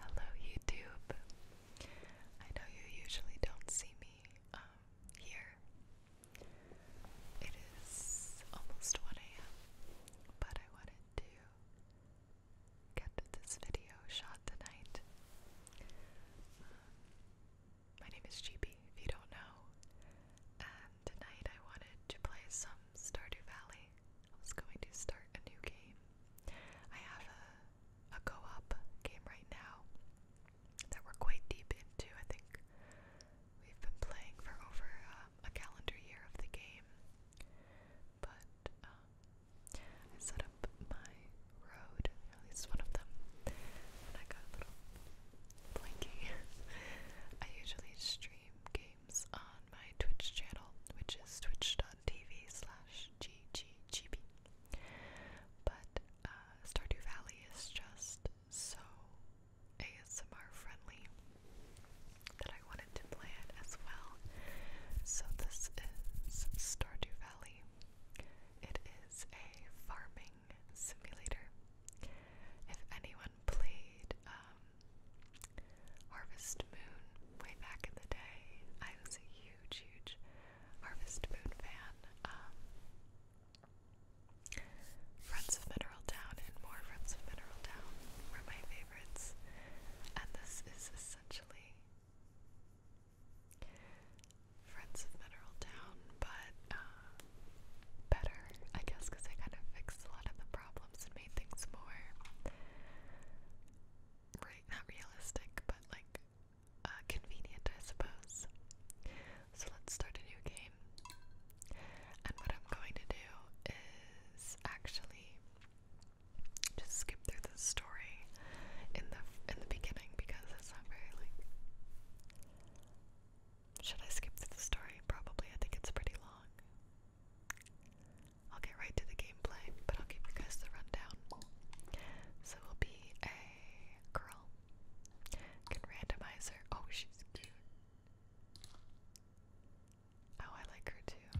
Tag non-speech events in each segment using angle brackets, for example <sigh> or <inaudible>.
Hello, YouTube. I know you usually don't see me um, here. It is almost 1 a.m., but I wanted to get this video shot tonight. Um, my name is GB, if you don't know, tonight I wanted to play some Stardew Valley. I was going to start a new game. I have a, a co-op game right now that we're quite deep into. I think we've been playing for over um, a calendar year of the game. But um, I set up my road, at least one of them, and I got a little blanky. <laughs> I usually stream games on my Twitch channel, which is twitch.tv slash gggb. But uh, Stardew Valley is just so ASMR friendly that I wanted to play it as well. So this is Stardew Valley. It is a farming simulator. If anyone played um, Harvest Moon way back in the day. I was a huge, huge Harvest Moon fan. Um, Friends of Mineral Town and more Friends of Mineral Town were my favorites, and this is essentially Friends of Mineral Town, but um, better, I guess, because I kind of fixed a lot of the problems and made things more, not realistic, but like uh, convenient, I suppose. So let's start a new game. And what I'm going to do is actually just skip through the story in the in the beginning because it's not very like should I skip through the story? Probably. I think it's pretty long. I'll get right to the gameplay, but I'll give you guys the rundown. So it'll be a girl. Can randomize her. Oh, she's cute. Oh, I like her too.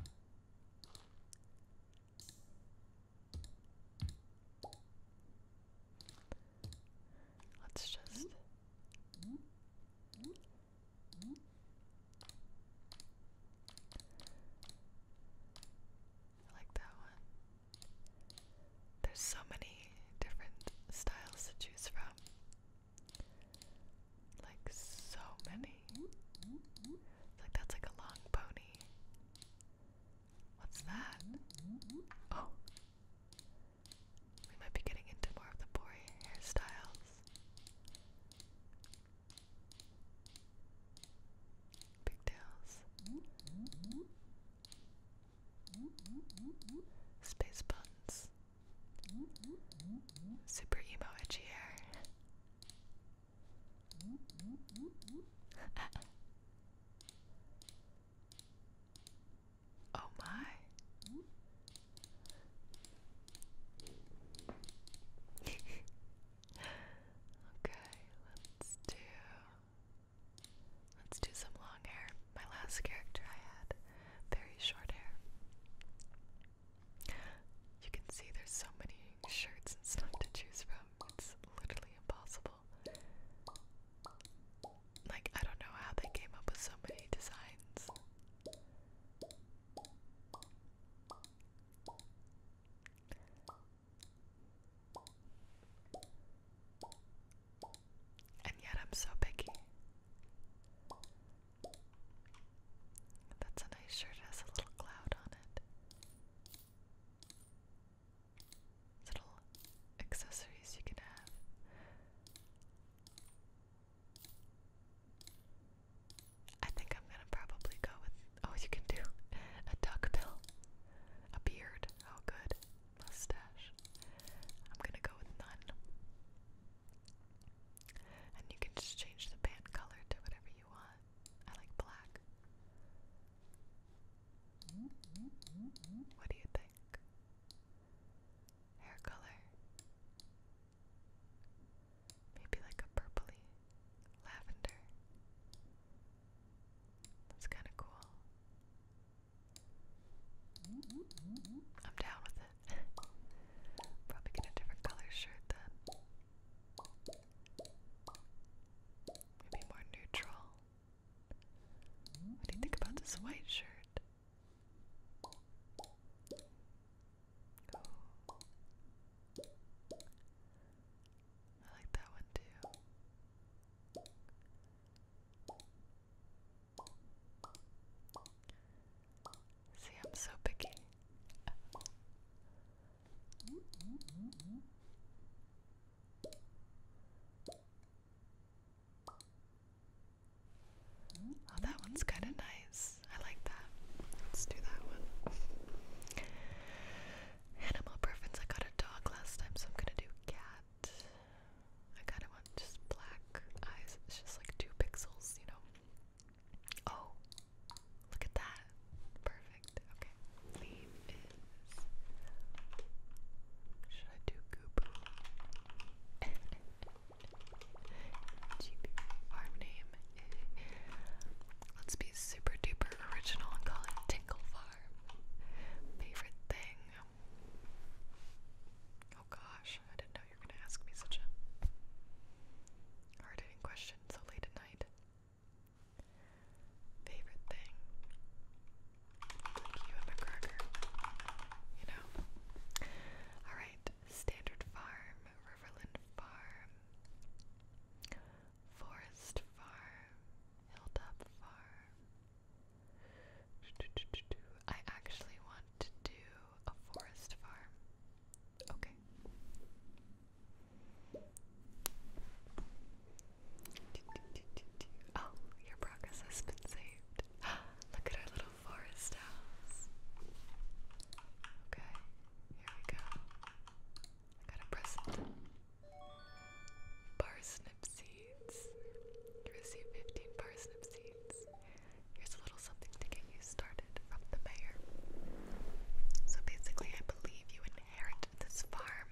Let's just. I like that one. There's so many different styles to choose from. Like so many. like that's like a long pony. What's that? Oh. We might be getting into more of the boring hairstyles. Pigtails. Space buns. Super emo itchy hair. <laughs> Oh my. <laughs> okay, let's do Let's do some long hair. My last character I had very short hair. You can see there's so many shirts and stuff to choose from. It's literally impossible. Like I don't know how they came up with so many designs. And yet I'm so picky. That's a nice shirt, has a little cloud on it. Little accessories you can have. I think I'm gonna probably go with. Oh, you can do <laughs> a duck bill, a beard. Oh, good mustache. I'm gonna go with none. And you can just change the pant color to whatever you want. I like black. What do you think? hair color. Maybe like a purpley lavender. That's kind of cool. I'm down with it. <laughs> Probably get a different color shirt then. Maybe more neutral. What do you think about this white shirt? I like that one too. See, I'm so picky. Oh, that one's kind of nice. I like that. Let's do that one. Animal preference. I got a dog last time, so I'm gonna do cat. I kind of want just black eyes. It's just like two pixels, you know. Oh, look at that. Perfect. Okay. Leave is. Should I do goop? <laughs> farm name. Let's be super duper original and call it Tinkle Farm. Favorite thing. Oh gosh, I didn't know you were gonna ask me such a hard hitting question so late at night. Favorite thing you and McGregor, you know. All right, Standard Farm, Riverland Farm, Forest Farm, Hilltop Farm. I actually want to do a forest farm. Okay. Oh, your progress has been saved. <gasps> Look at our little forest house. Okay, here we go. I got a present. Parsnip seeds. You receive 15 parsnip seeds. Here's a little something to get you started from the mayor. So basically, I believe you inherited this farm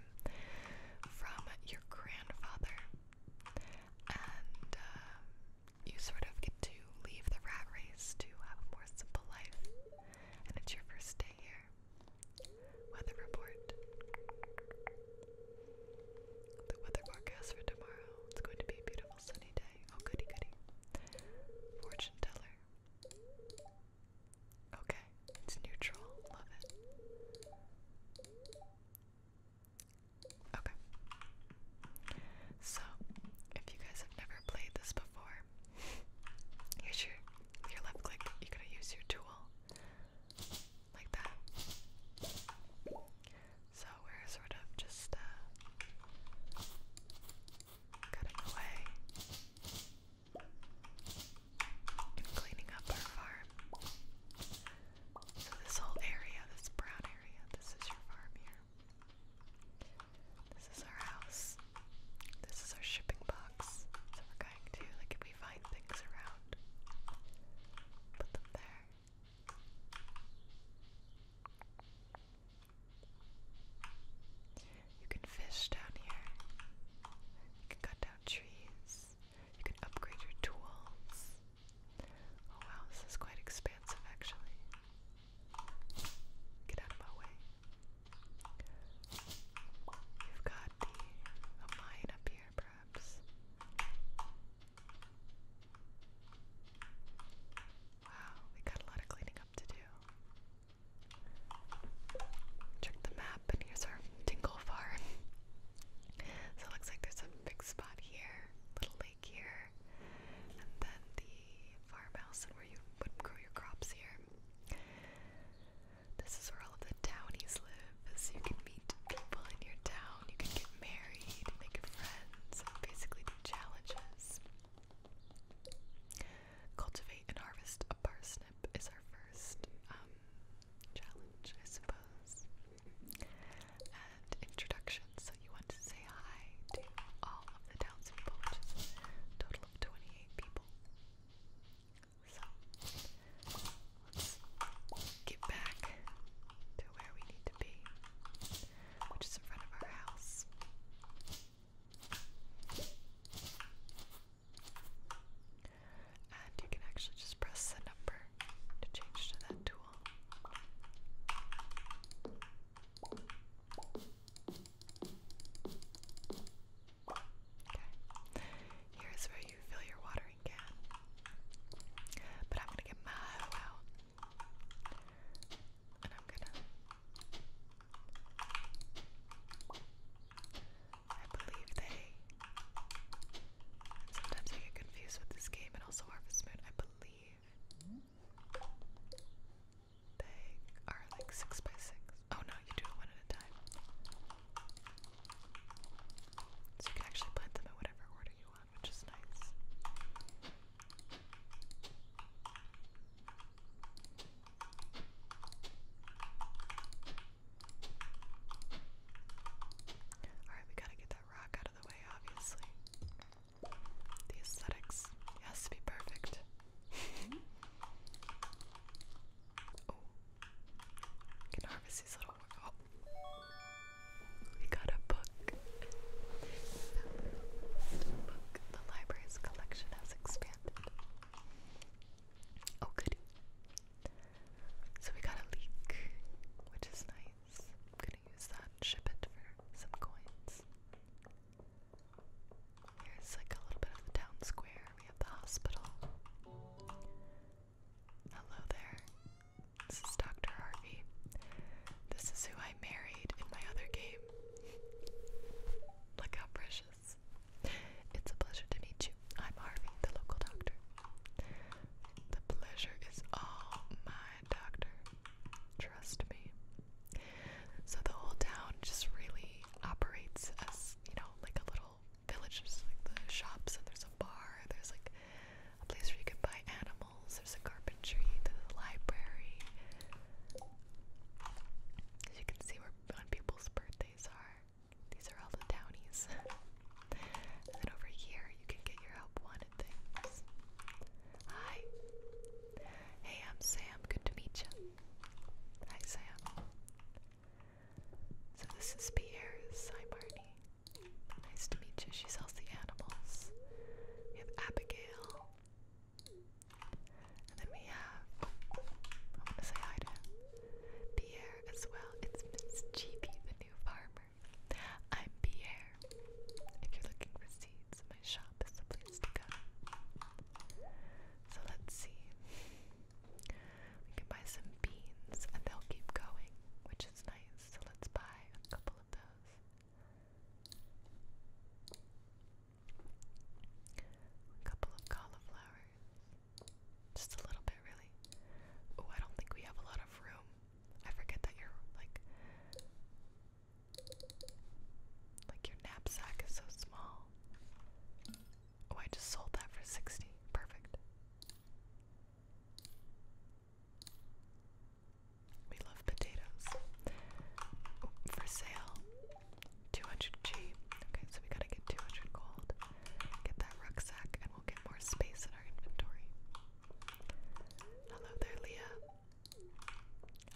from your grandfather and um, you sort of get to leave the rat race to have a more simple life. And it's your first day here. Weather report. The weather forecast for tomorrow. It's going to be a beautiful sunny day. Oh, goody, goody. Fortune teller. Okay, it's neutral. Love it. Okay. So, if you guys have never played this before, here's your your left click, you're gonna use your tool like that. So we're sort of just uh, cutting away and cleaning up our farm. So this whole area, this brown area, this is your farm here. This is our house. This is our shipping box. So we're going to, like, if we find things around, put them there. You can fish down here. You can cut down trees. You can upgrade your tools. Oh wow, this is quite expansive actually. Get out of my way. You've got a mine up here, perhaps. Wow, we got a lot of cleaning up to do. Check the map, and here's our tingle farm. <laughs> so it looks like there's a big spot here, little lake here, and then the farmhouse and where you would grow your crops here. This is where all of the townies live, so you can meet people in your town, you can get married, make friends, and basically do challenges. Cultivate and harvest a parsnip is our first um, challenge, I suppose. And introductions, so you want to say hi to all of the townspeople, which is total of 28 people. So, let's get back to where we need to be, which is in front of our house. And you can actually just press the number to change to that tool. Okay. Here's where you fill your watering can. But I'm gonna get my hoe And I'm gonna I believe they Sometimes I get confused with this game and also Harvest Moon, I believe. They are like 6 by 6 Oh no, you do it one at a time. So you can actually plant them in whatever order you want, which is nice. Alright, we gotta get that rock the way, obviously. The aesthetics has to be perfect. Mm-hmm. Oh. Oh. we got a book. The library's collection has expanded. Oh, goody. So we got a leak, which is nice gonna use that and ship it for some coins. Here's like a little bit of the town square. We have the hospital. Hello there. This is Dr. Harvey. This is who I married in my other game. Look how precious. It's a pleasure to meet you. I'm Harvey, the local doctor. The pleasure is all mine, doctor. Trust me. So the whole town just really operates as, you know, like a little village. There's like the shops and there's a bar. There's like a place where you can buy animals. There's a carpentry, a library. As you can see where on people's birthdays are. These are all the townies. <laughs> And then over here, you can get your help wanted things. Hi. Hey, I'm Sam. Good to meet you. Hi, Sam. So this is Pierre's. Hi, Barney. Nice to meet you. She sells the animals. We have Abigail. And then we have. Oh, I want to say hi to him. Pierre as well. It's Miss Cheapy, the new farmer. I'm Pierre. If you're looking for seeds, my shop is the place to go. So let's see. We can buy some beans and they'll keep going, which is nice. So let's buy a couple of those. A couple of cauliflowers. Just a little bit, really. Oh, I don't think we have a lot of room. I forget that you like like your knapsack is so small. Oh, I just sold that for 60. Perfect. We love potatoes. Oh, for sale. 200G. Okay, so we gotta get 200 gold. Get that rucksack, and Hello there, Leah.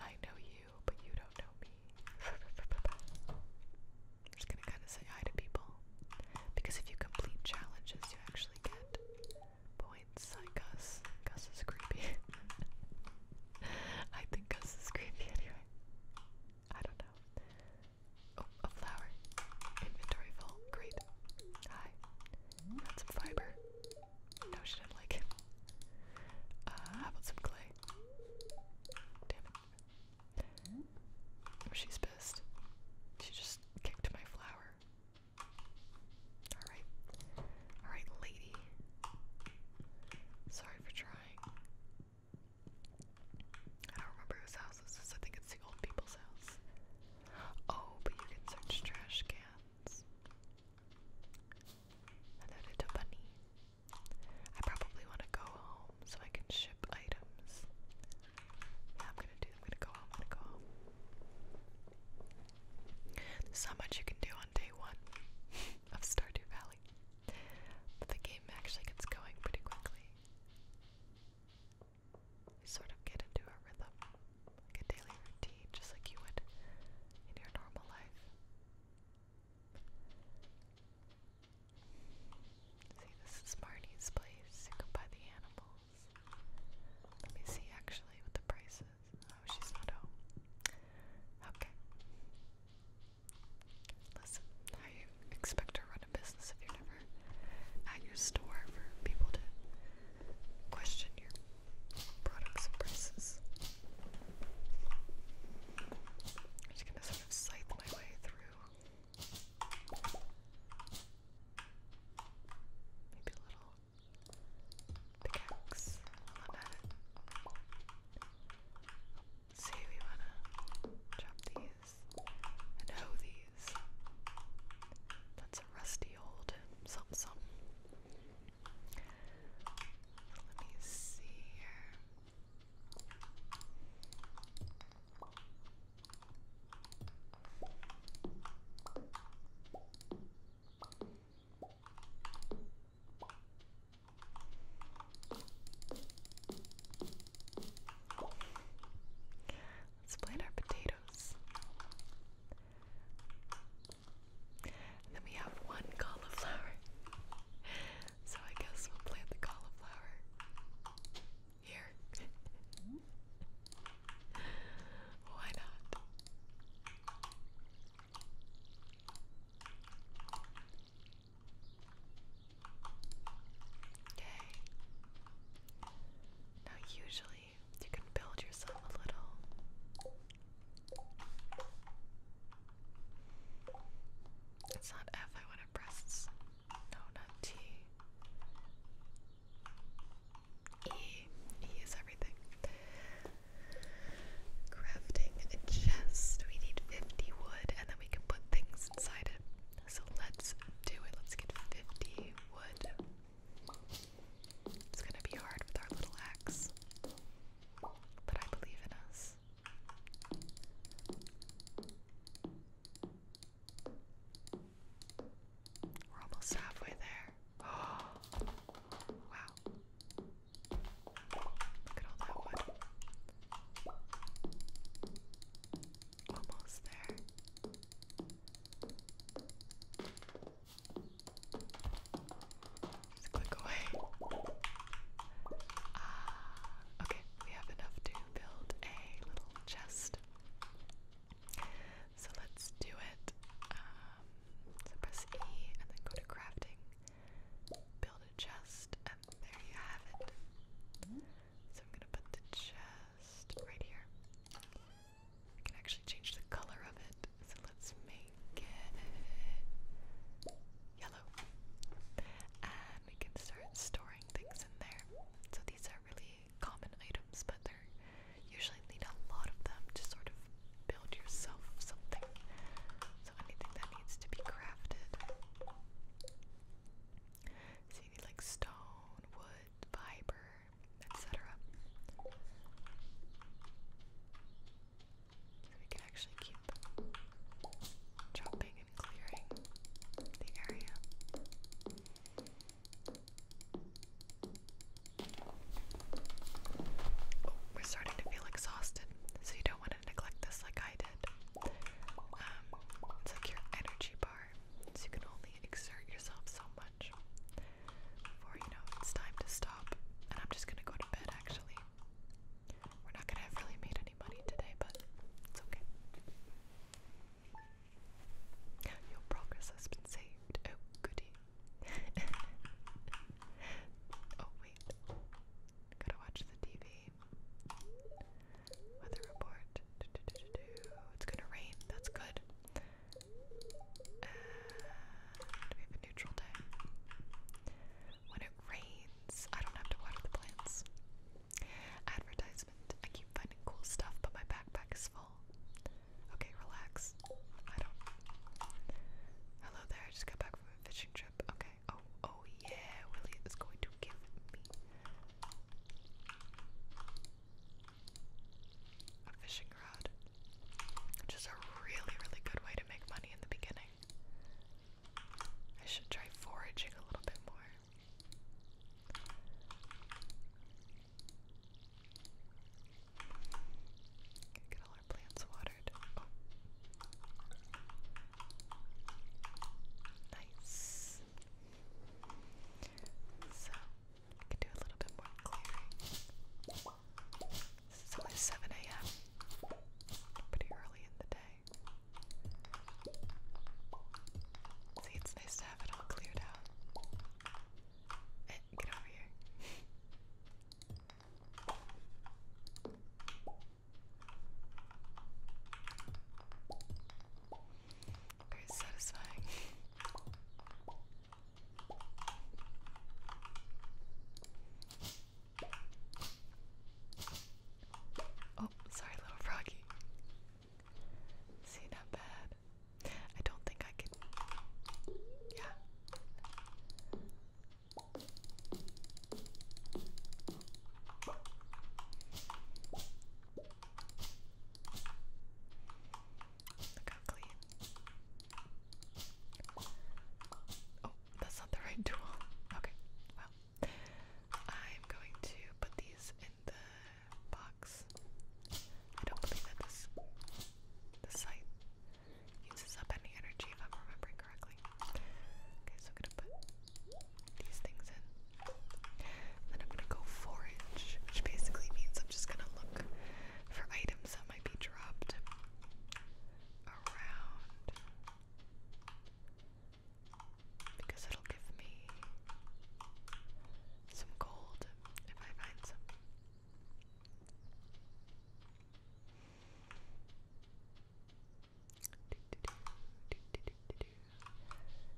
I know you, but you don't know me. <laughs> just gonna kind of say hi to people. Because if you complete challenges, you actually get points. Hi, Gus. Gus is creepy. <laughs> I think Gus is creepy anyway. I don't know. Oh, a flower. Inventory full. Great. Hi. Got some fiber. No shit, I like Uh, how some clay? Damn it. Oh, she's pissed. She just kicked my flower. Alright. Alright, lady. Sorry for trying. I don't remember whose house this is. I think it's the old people's house. Oh, but you can search trash cans. Hello, little bunny. I probably want to go home so I can ship items. Yeah, I'm gonna do. I'm gonna go home. I'm gonna go home. There's so much you can do on day one <laughs> of Stardew Valley, the game actually gets going pretty quickly sort of get into a rhythm, like a daily routine, just like you would in your normal life. See, this is Marnie's place. You can buy the animals. Let me see actually what the price is. Oh, she's not home. Okay. Listen, how you expect to run a business if you're never at your store for people to question your products and prices. I'm just gonna sort of scythe my way through. Maybe a little pickaxe while See, we wanna chop these and hothies. That's a rusty old something something. Let me see here. Let's plant our potatoes. then we have one cauliflower. So I guess we'll plant the cauliflower here. <laughs> Why not? Okay. Now, usually, you can build yourself a little. It's not F I want to No, not T. E. E is everything. Crafting a chest. We need 50 wood and then we can put things inside it. So let's do it. Let's get 50 wood. It's gonna be hard with our little axe, but I believe in us. We're almost halfway there. <gasps> wow. Look at all that wood. Almost there. Just click away. Ah, okay, we have enough to build a little chest. So let's do it. Um, so press E and then go to crafting, build a chest, and there you have it. So I'm gonna put the chest right here. I can actually change the color of it. So let's make it yellow. And we can start storing things in there. So these are really common items, but they're usually need a lot of them to sort of build yourself something. So anything that needs to be crafted. So you need like stone, wood, fiber, etc. So we can actually keep chopping and clearing the area. Oh, we're starting to feel exhausted, so you don't want to neglect this like I did. Um, it's like your energy so you can only exert yourself so much before you know it's time to stop. And I'm just gonna go to bed actually. We're not gonna have really made any money today, but it's okay. Your progress has been saved. Oh, goody. <laughs> oh, wait. Gotta watch the TV. Weather report. It's gonna rain. That's good. we have a neutral day. When it rains, I don't have to water the plants. Advertisement. I keep finding cool stuff, but my backpack is full. Okay, relax. I don't. Hello there. I just got back from a fishing trip. Okay. Oh, oh yeah. Willie is going to give me a fishing rod, which is a really, really good way to make money in the beginning. I should try foraging a little bit more. Get all our plants watered. Oh. Nice. So, I can do a little bit more clearing. It's only 7 a.m. Pretty early in the day. See, it's nice to have it all cleared out. Eh, get over here. Very satisfying. Oh, sorry, little froggy. See, not bad. I don't think I can. Yeah. Look how clean. Oh, that's not the right tool. Okay, well, I'm going to put these in the box. I don't believe that this this site uses up any energy, if I'm remembering correctly. Okay, so I'm gonna put these things And then I'm gonna go forage, which basically means I'm just gonna look for items that might be dropped around because it'll give me some gold if I find some.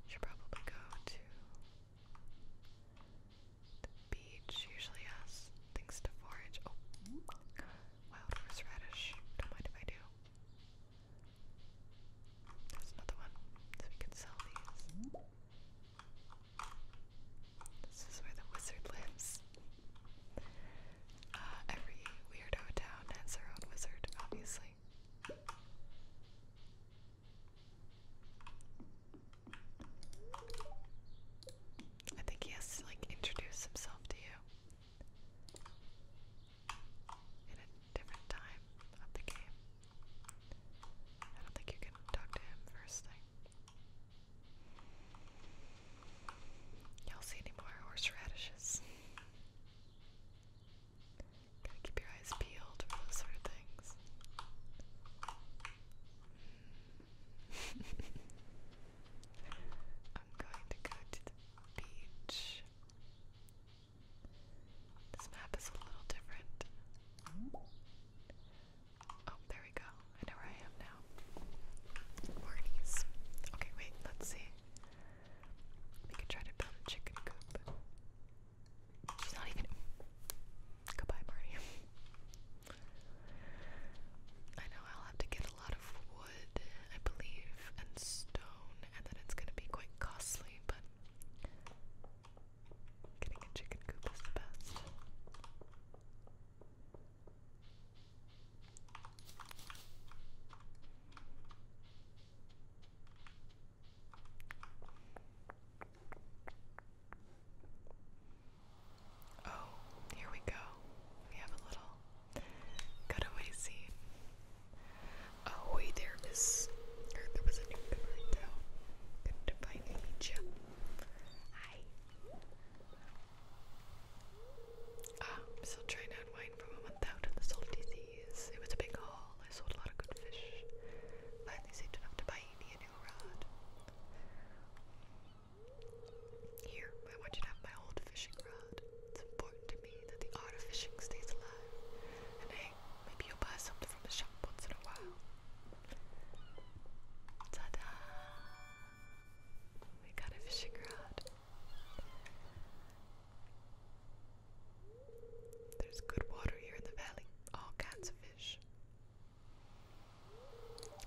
Should probably go to the beach. Usually has things to forage. Oh, wild horseradish. Don't mind if I do. There's another one, so we can sell these. This is where the wizard lives. Uh, every weirdo town has their own wizard, obviously. I think he has to like introduce himself to you in a different time of the game. I don't think you can talk to him first thing. Y'all see any more horseradishes? Gotta keep your eyes peeled for those sort of things. <laughs> I'm going to go to the beach. This map is a little different. Oh, there we go. I know where I am now. Mornings. Okay, wait, let's see. We could try to build a chicken coop. She's not even. Goodbye, Marty. I know I'll have to get a lot of wood, I believe, and stone, and then it's gonna be quite costly, but getting a chicken coop is the best. Oh, here we go. We have a little cutaway Oh, wait, there was, there was a newcomer in town. Couldn't Hi. Ah, still trying to unwind from a month out of the salty sea. It was a big haul. I sold a lot of good fish. Finally saved enough to buy Edie a new rod. Here, I want you to have my old fishing rod. It's important to me that the art of fishing stays alive. And hey, maybe you'll buy something from the shop once in a while. Ta-da! We got a fishing rod. There's good water here in the valley. All kinds of fish.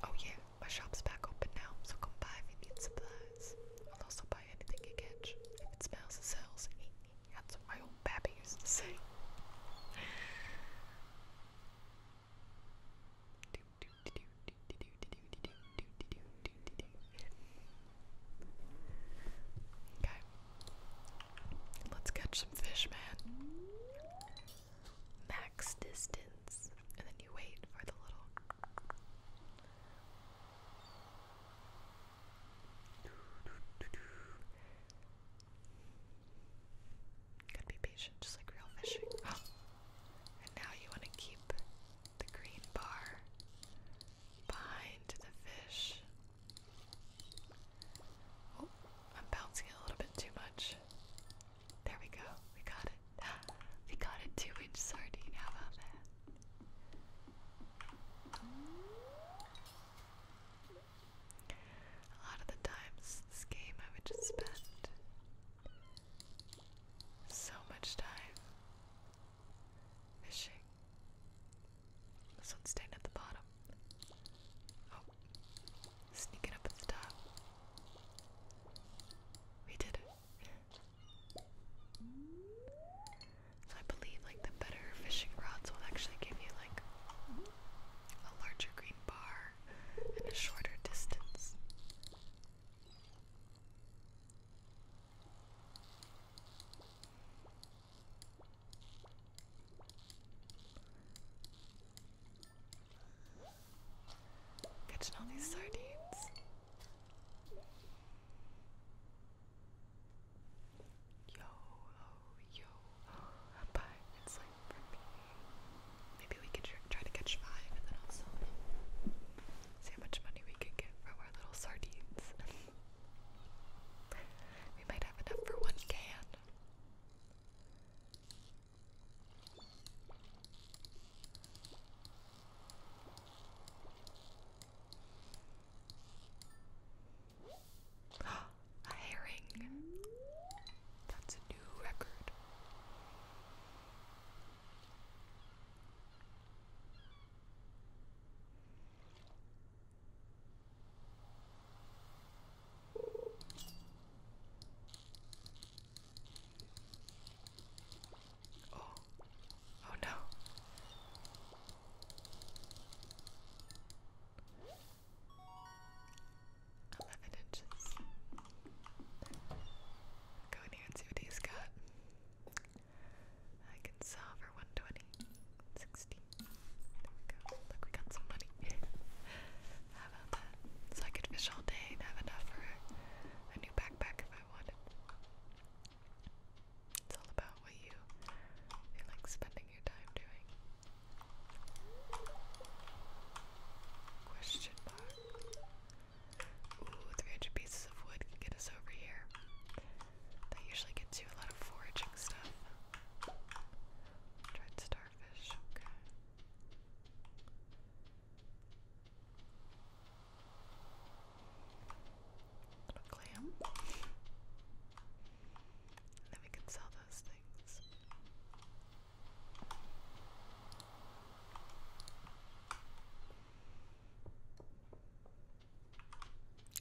Oh yeah, my shop's back open now, so come by if you need supplies. I'll also buy anything you catch. If it smells, it sells. That's what my old pappy used to say. Okay. Let's catch some fish, man. Max distance. And then you wait for the little. Gotta be patient, just like real fishing. <gasps> And now you want to keep the green bar behind the fish. Oh, I'm bouncing a little bit too much. There we go. We got it. <gasps> we got a two inch sardine. How about that? A lot of the times this game I would just spend so much time fishing this one's staying at the bottom. Oh, sneaking up at the top. We did it. So I believe like the better fishing rods will actually give you like a larger green bar and a shorter distance. Catching all these sardines. Yo ho, oh, yo ho, oh, it's like Maybe we could try to catch five and then also see how much money we could get from our little sardines. <laughs> We might have enough for one can. <gasps> a herring. That's a new record. Oh, oh no. I'll go in here and see what he's got. I can solve for 120, 60. There we go. Look, we got some money. <laughs> How about that? So I could fish all day and have enough for a new backpack if I wanted. It's all about what you like spending your time doing. Question mark. Ooh, 300 pieces of wood can get us over here. That usually gets you a lot of foraging stuff. Dried starfish, Little clam. then we can sell those things.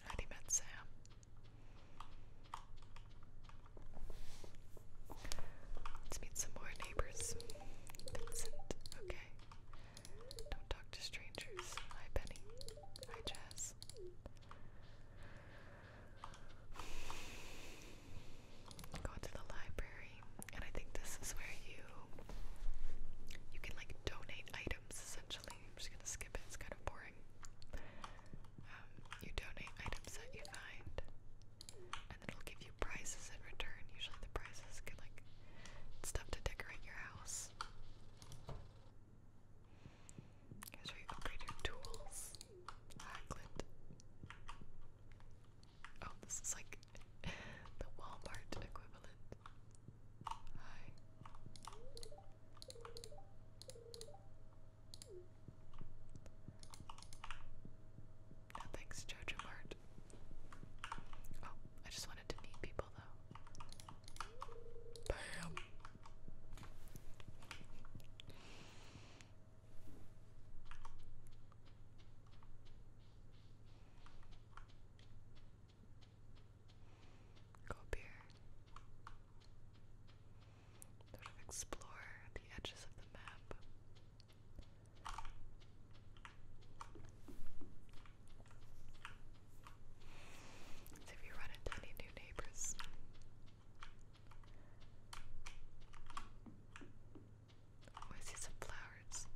Had he Sam? Let's meet some more neighbors. Vincent, okay. Don't talk to strangers. Hi, Penny. Hi, Jazz. Go to the library, and I think this is where you you can like donate items essentially. I'm just gonna skip it. It's kind of boring. Um, you donate items that you find, and it'll give you prizes in return. Usually the prizes get like stuff to decorate your house. Here's where you upgrade your tools. Oh, this is like <laughs> the Walmart equivalent. No thanks, Jojo Mart. Oh, I just wanted to meet people though. Bam! Go up here. Sort of explore the edges of the map. See if you run into any new neighbors. Oh, see some flowers.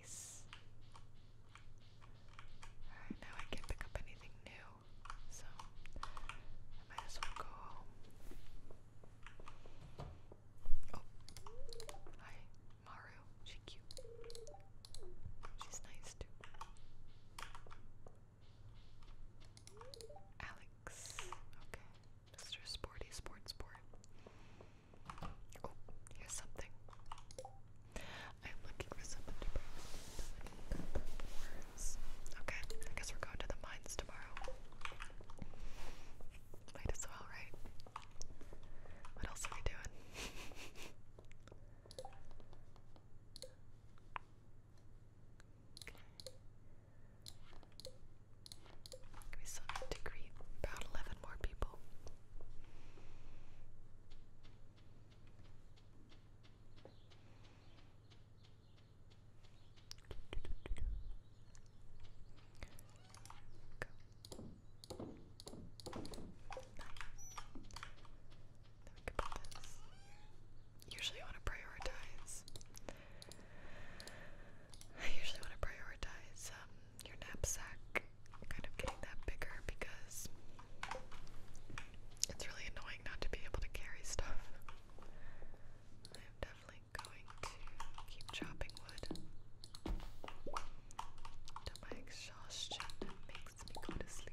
Nice. Alright, now I can't pick up anything new, so I might as well go home. Oh, hi, Maru. She cute. She's nice too. Alex. Okay. Mr. Sporty Sport Sport. Oh, here's something. I'm looking for someone to bring Okay, I guess we're going to the mines tomorrow. Might as well, right? What else are we doing? We still need to greet about 11 more people. Usually want to prioritize. I usually want to prioritize um, your knapsack kind of getting that bigger because it's really annoying not to be able to carry stuff. I'm definitely going to keep chopping wood to my exhaustion makes me go to sleep.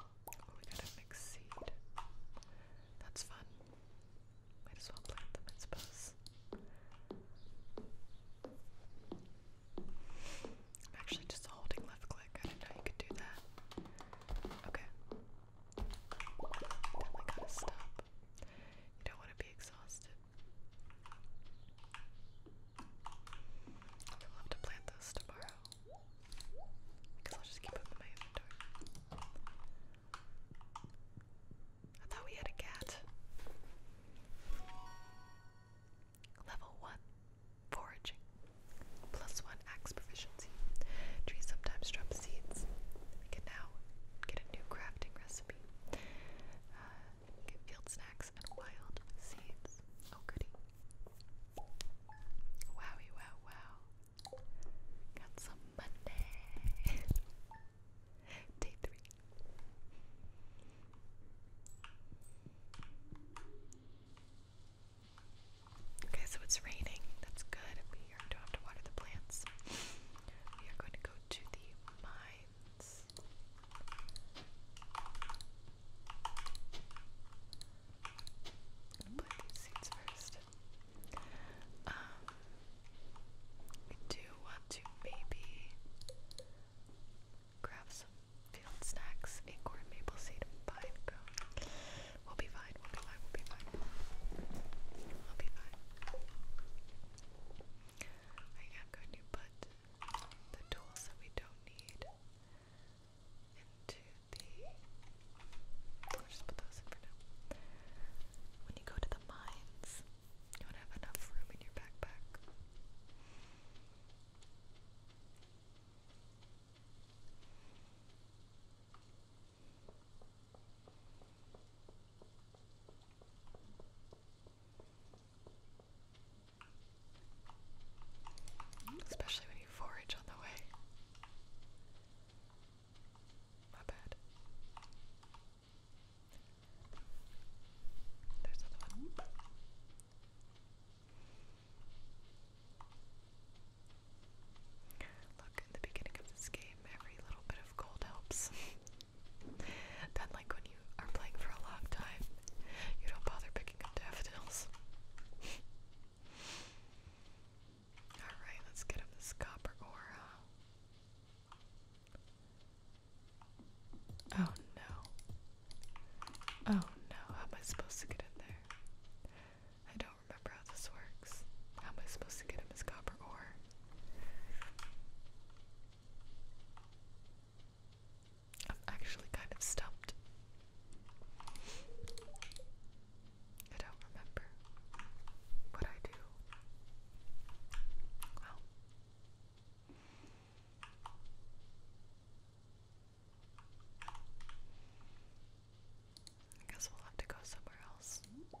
Oh, we got a mixed seed. That's fun. Might as well plant them, I suppose. I'm actually just holding left click. I didn't know you could do that. Okay. Definitely gotta stop. You don't want to be exhausted. I'll have to plant this tomorrow. Because I'll just keep them in my inventory. I thought we had a cat. Level 1. Foraging. Plus 1 axe proficiency. Trees sometimes drop seeds. We now get a new crafting recipe. Uh, Get field snacks and wild seeds. Oh, goody. Wowie, wow, wow. Got some Monday. <laughs> Day three. Okay, so it's raining. That's good. We don't have to water the plants. We are going to go to the mines. Put these seeds first. Um, we do want to maybe grab some field snacks, acorn, maple seed, and pine We'll be fine. We'll be fine. We'll be fine. We'll be fine. I am going to put the tools that we don't need into the. just put those in for now. When you go to the mines, you want to have enough room in your backpack. Especially when you forage on the way. My bad. There's another one. Look, in the beginning of this game, every little bit of gold helps. Done <laughs> like when you are playing for a long time, you don't bother picking up daffodils. <laughs> Alright, let's get him this copper aura. Oh no. Oh no, how am I supposed to get in there? I don't remember how this works. How am I supposed to get him this copper ore? I'm actually kind of stumped. I don't remember what I do. Well. I guess we'll have to go somewhere else. No.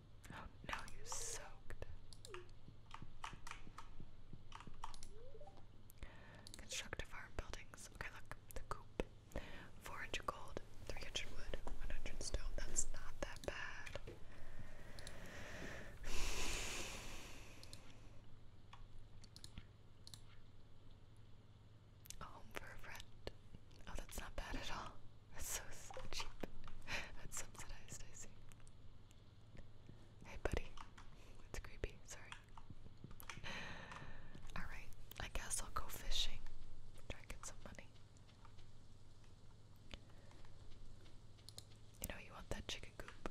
No, you soaked. Construct farm buildings. Okay, look, the coop. 400 gold, 300 wood, 100 stone. That's not that bad. A home for a friend. Oh, that's not bad at all. That's so, so cheap. That's subsidized, I see. Hey, buddy. that's creepy. Sorry. Alright, I guess I'll go fishing. Try and get some money. You know, you want that chicken coop.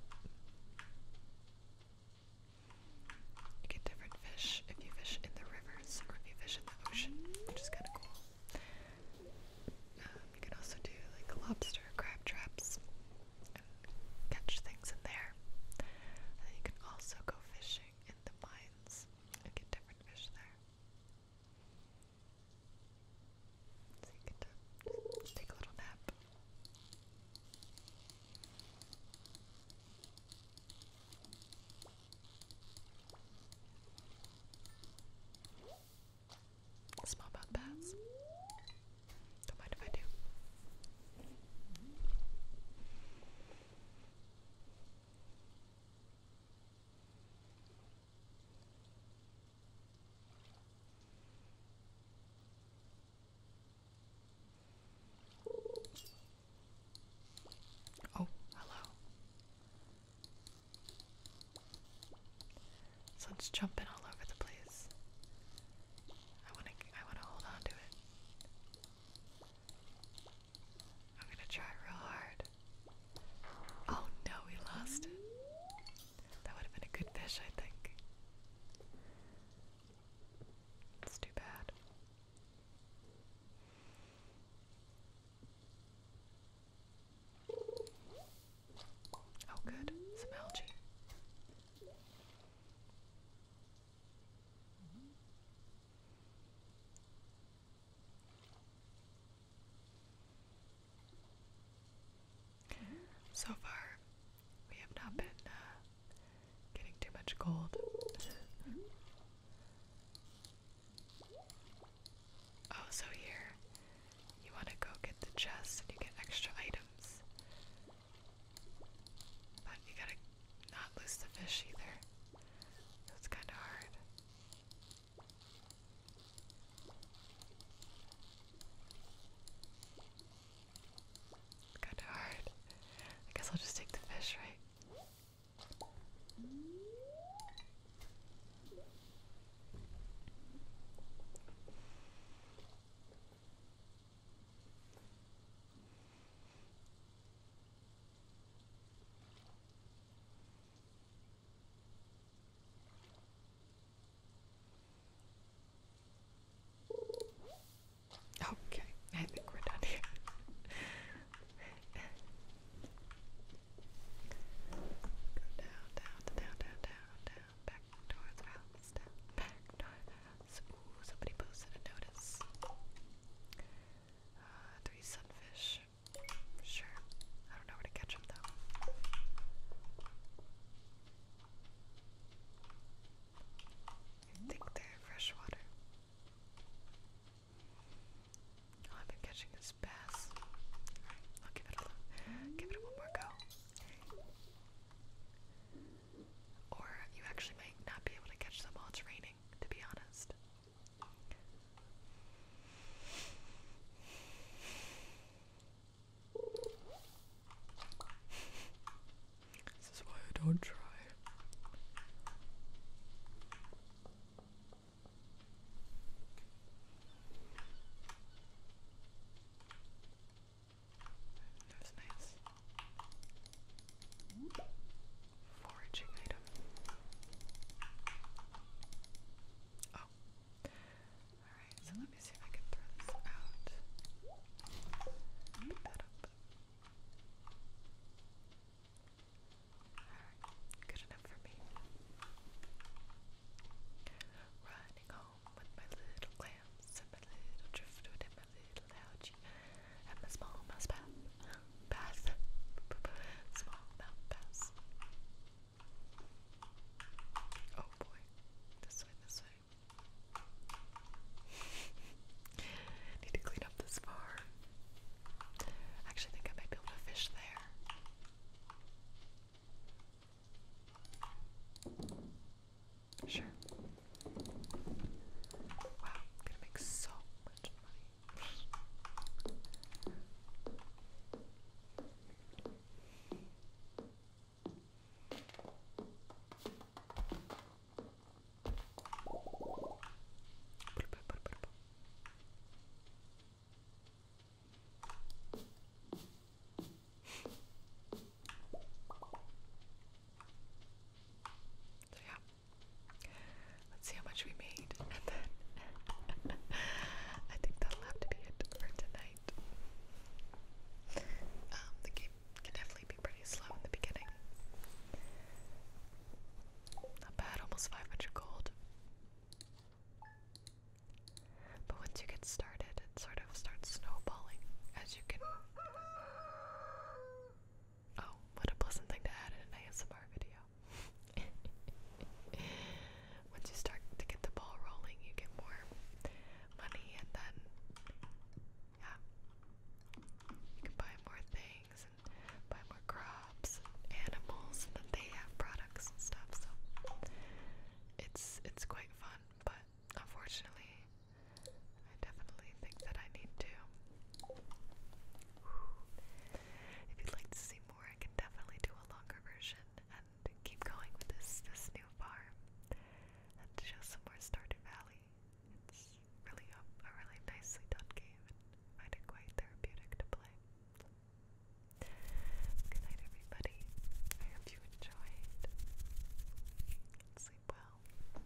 You get different fish if you fish in the rivers or if you fish in the ocean, which is kind of cool. Um, you can also do like lobster crab traps and catch things in there. And then you can also go fishing in the mines and get different fish there. So you get to just take a little nap. Smallmouth bass. Don't mind if I do. Oh, hello. So it's jumping all over the place. I wanna I wanna hold on it. I'm gonna try real hard. Oh no, we lost it. That would have been a good fish, I think. It's too bad. Oh, good. Some algae. So far, we have not been uh, getting too much gold. Oh, so here you want to go get the chest and you get extra items. But you gotta not lose the fish either. That's kind of hard. Kind of hard. I guess I'll just take the fish, right? Okay, I think we're done here. Go down, down, down, down, down, down, back towards the house, back towards somebody posted a notice. Uh, three sunfish. Sure. I don't know where to catch them though. I think they're freshwater. Oh, I've been catching this bass. I'll give it a give it one more go. Or you actually might not be able to catch them while it's raining, to be honest. This is why I don't try. That's nice. Foraging item. Oh. Alright, so let me see if I can throw this out. Pick that up. Alright, good enough for me. Riding home with my little clams my little driftwood and my little algae and my small mouse bath. Bath. Small mouth bass. Oh boy. This way, this way. <laughs> Need to clean up this bar. I actually think I might be able to fish there. Sure. Wow, I'm gonna make so much money. So yeah, let's see how much we made, <laughs> I think that'll have to be it for tonight. Um, the game can definitely be pretty slow in the beginning. Not bad, almost 500 gold. But once you get started, it sort of starts snowballing as you can. Oh, what a pleasant thing to add in an ASMR video. <laughs> Once you start to get the ball rolling, you get more money, and then, yeah, you can buy more things things and buy more crops and animals, and then they have products and stuff. So it's it's quite fun, but unfortunately, I definitely think that I need to. If you'd like to see more, I can definitely do a longer version and keep going with this this new farm and show some more Stardew Valley. It's really a, a really nicely done game. And find it quite therapeutic to play. Good night, everybody. I hope you enjoyed. Sleep well.